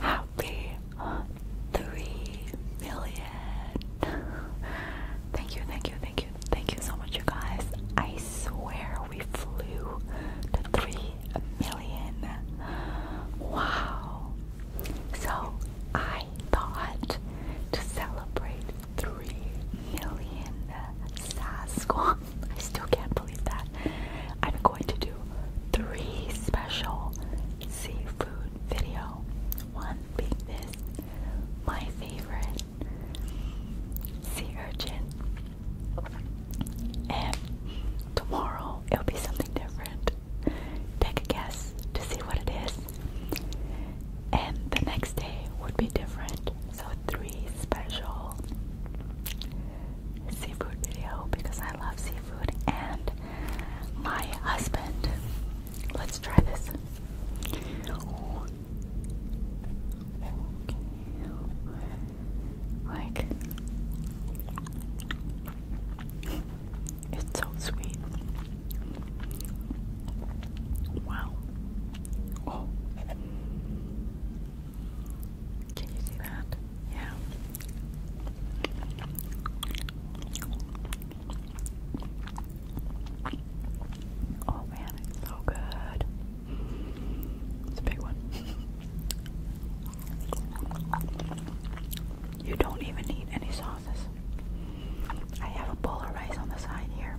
Happy three million. Thank you, thank you, thank you, thank you so much, you guys. I swear we flew to three million. Wow. So I thought to celebrate three million Sasquatch. I still can't believe that. I'm going to do three special seafood video. One being this, my favorite sea urchin, and tomorrow it'll be something different. Take a guess to see what it is, and the next day would be different. So three special seafood video because I love seafood and my husband. Let's try this. Like it's so sweet. Wow. Oh. Can you see that? Yeah. Oh man, so good. It's a big one. You don't even need any sauces. I have a bowl of rice on the side here.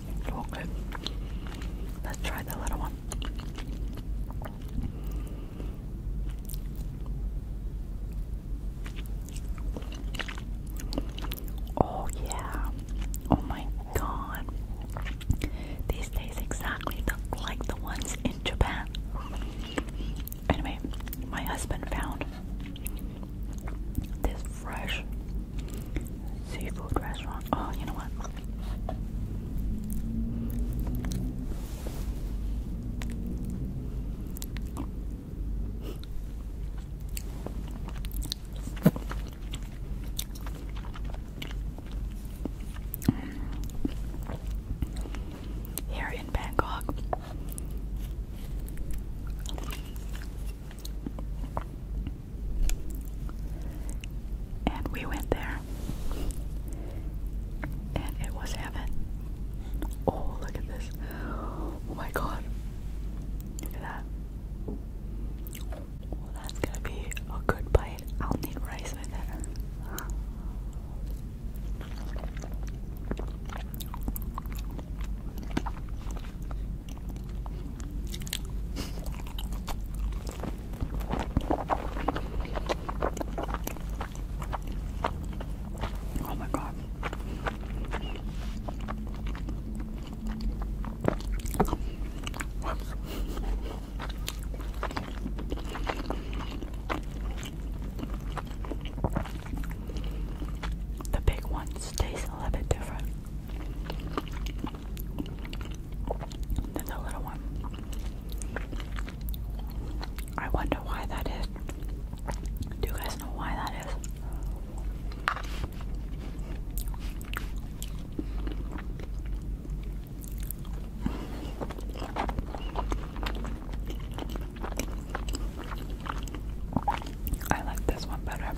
So Let's try the little one. Oh, yeah. Oh, my God. These taste exactly like the ones in Japan. Anyway, my husband found this fresh Seafood restaurant. Oh, you know what? Here in Bangkok, and we went there. And it was heaven. Oh, look at this. Oh my god. Look at that. that's gonna be a good bite. I'll need rice with it. Oh my god. The big ones taste a little bit different the little one. I wonder why that is. Do you guys know why that is? I like this one better.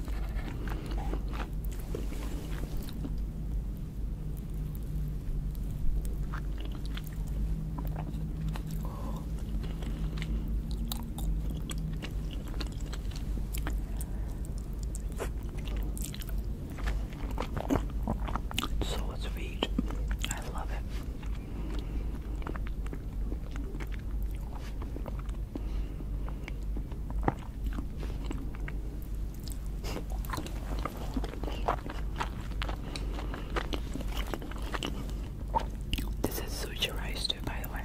It's sweet. I love it. This is sushi rice too, by the way.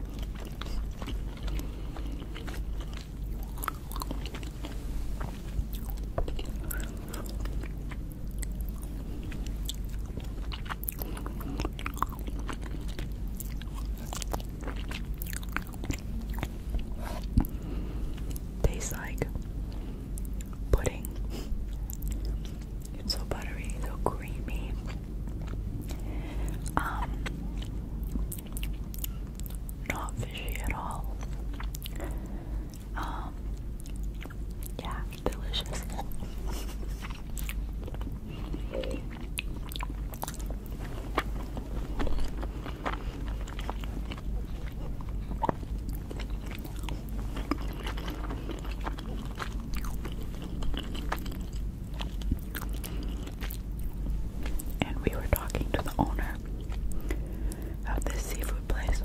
Tastes like pudding. It's so buttery, so creamy. Um, not fishy at all. Um, yeah, delicious. And we were talking to the owner of this seafood place.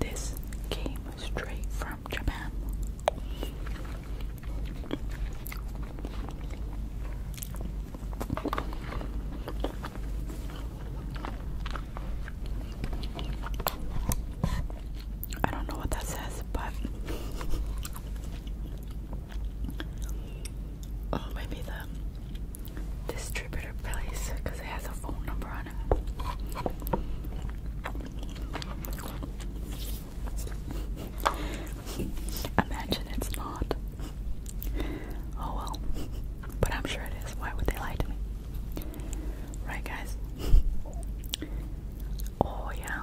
This came straight from Japan. I don't know what that says, but oh, maybe the distributor place because it has a phone number on it. Imagine it's not. Oh well. But I'm sure it is. Why would they lie to me? Right, guys? Oh, yeah.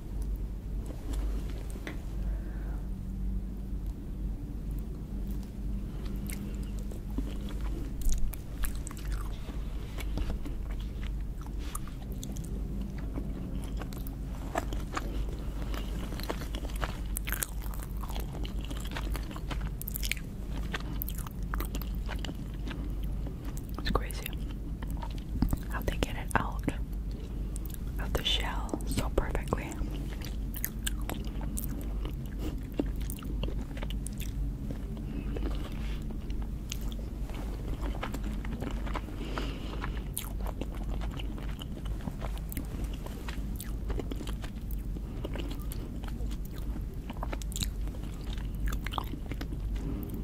It's crazy how they get it out of the shell so perfectly.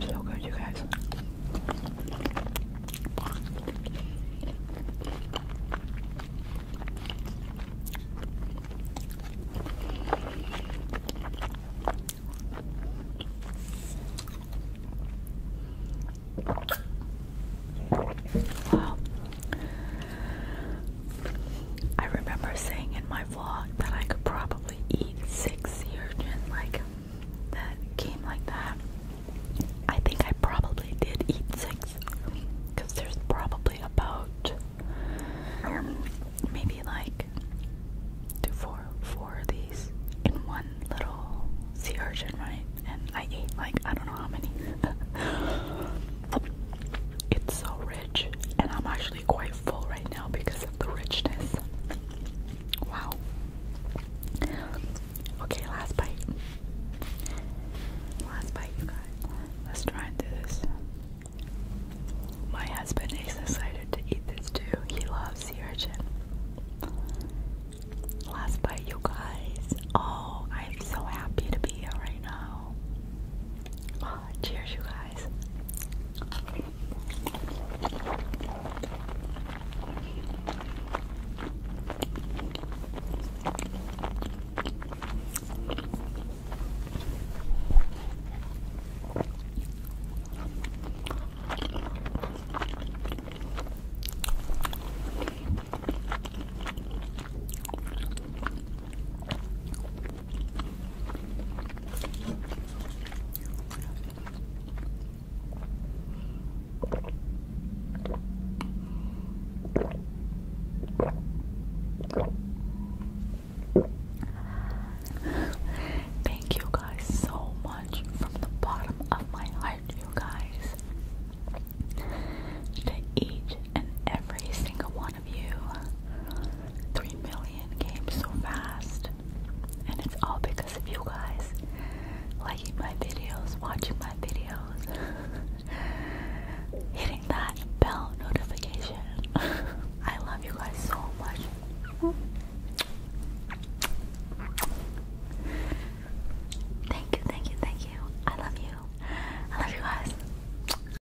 So good, you guys. Wow. I remember saying in my vlog that I could probably eat six sea like that came like that. I think I probably did eat six because there's probably about um, maybe like two, four, four of these in one little sea urchin, right? And I ate like I don't know how many. it's so rich and I'm actually quite full right now because of the richness. Wow. Okay, last bite. Last bite, you guys. Let's try and do this. My husband is excited to eat this too. He loves sea urchin. Last bite, you guys. Oh, I'm so happy to be here right now. Cheers, you guys. Thank you guys so much from the bottom of my heart, you guys. To each and every single of you. Three million came so fast, and it's all because of you guys liking my videos, watching my videos, hitting that bell notification. I love you guys so much. Thank you, thank you, thank you. I love you. I love you guys.